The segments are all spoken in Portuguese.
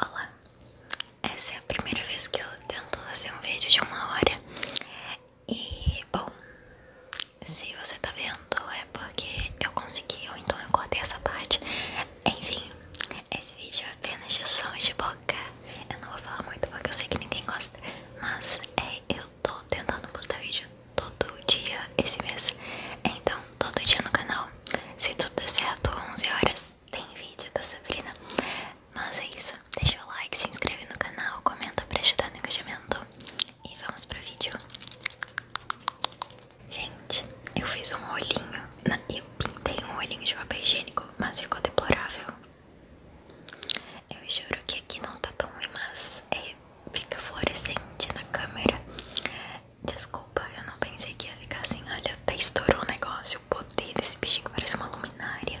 Olá, essa é a primeira vez que eu tento fazer um vídeo de uma hora E, bom, se você tá vendo é porque eu consegui ou então eu cortei essa parte Enfim, esse vídeo é apenas de sons de boca eu não vou falar muito porque eu sei que ninguém gosta, mas é, eu tô tentando postar vídeo todo dia esse mês. Então, todo dia no canal, se tudo der certo, 11 horas tem vídeo da Sabrina. Mas é isso, deixa o like, se inscreve no canal, comenta pra ajudar no engajamento e vamos pro vídeo. Gente, eu fiz um olhinho, eu pintei um olhinho de papel higiênico, mas ficou deplorável. Eu juro que aqui não tá tão ruim, mas é, fica fluorescente na câmera. Desculpa, eu não pensei que ia ficar assim. Olha, até estourou o negócio. O poder desse bichinho parece uma luminária.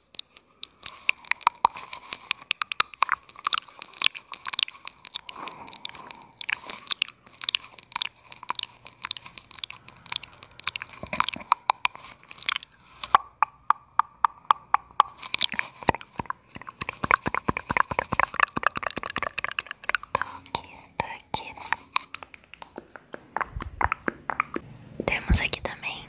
Tô aqui, tô Temos aqui também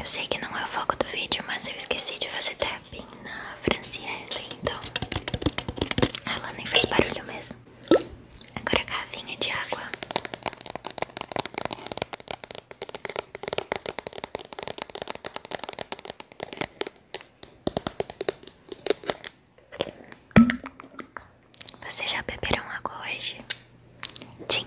Eu sei que não é o foco do vídeo, mas eu esqueci de fazer tapping na Franciele, então ela nem fez barulho mesmo. Agora a garrafinha de água. Vocês já beberam água hoje? Tchim,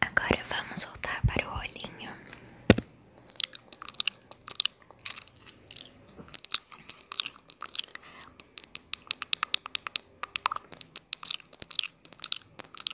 Agora vamos voltar para o rolinho.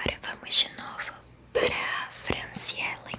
Agora vamos de novo para a Franciellen.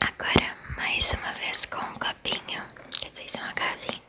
Agora mais uma vez com o copinho. Quer dizer, isso é uma garrafinha.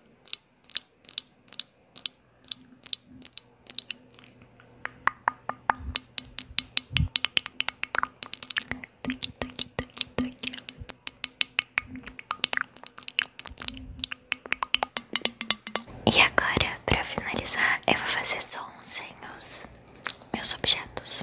E agora, para finalizar, eu vou fazer só uns os meus objetos.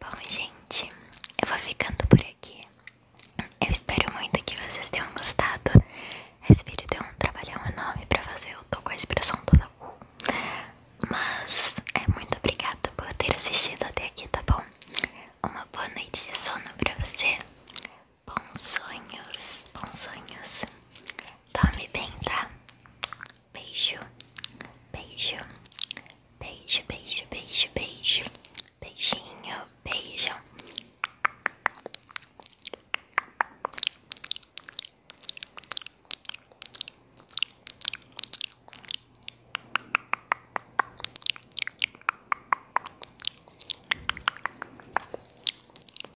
Bom, gente, eu vou ficando por aqui. Eu espero muito que vocês tenham gostado. Esse vídeo deu um trabalhão enorme pra fazer. Eu tô com a expressão toda. Mas é muito obrigada por ter assistido até aqui, tá bom? Uma boa noite de sono pra você. Bons sonhos, bons sonhos. Tome bem, tá? Beijo, beijo, beijo, beijo, beijo, beijo, beijinho, beijo.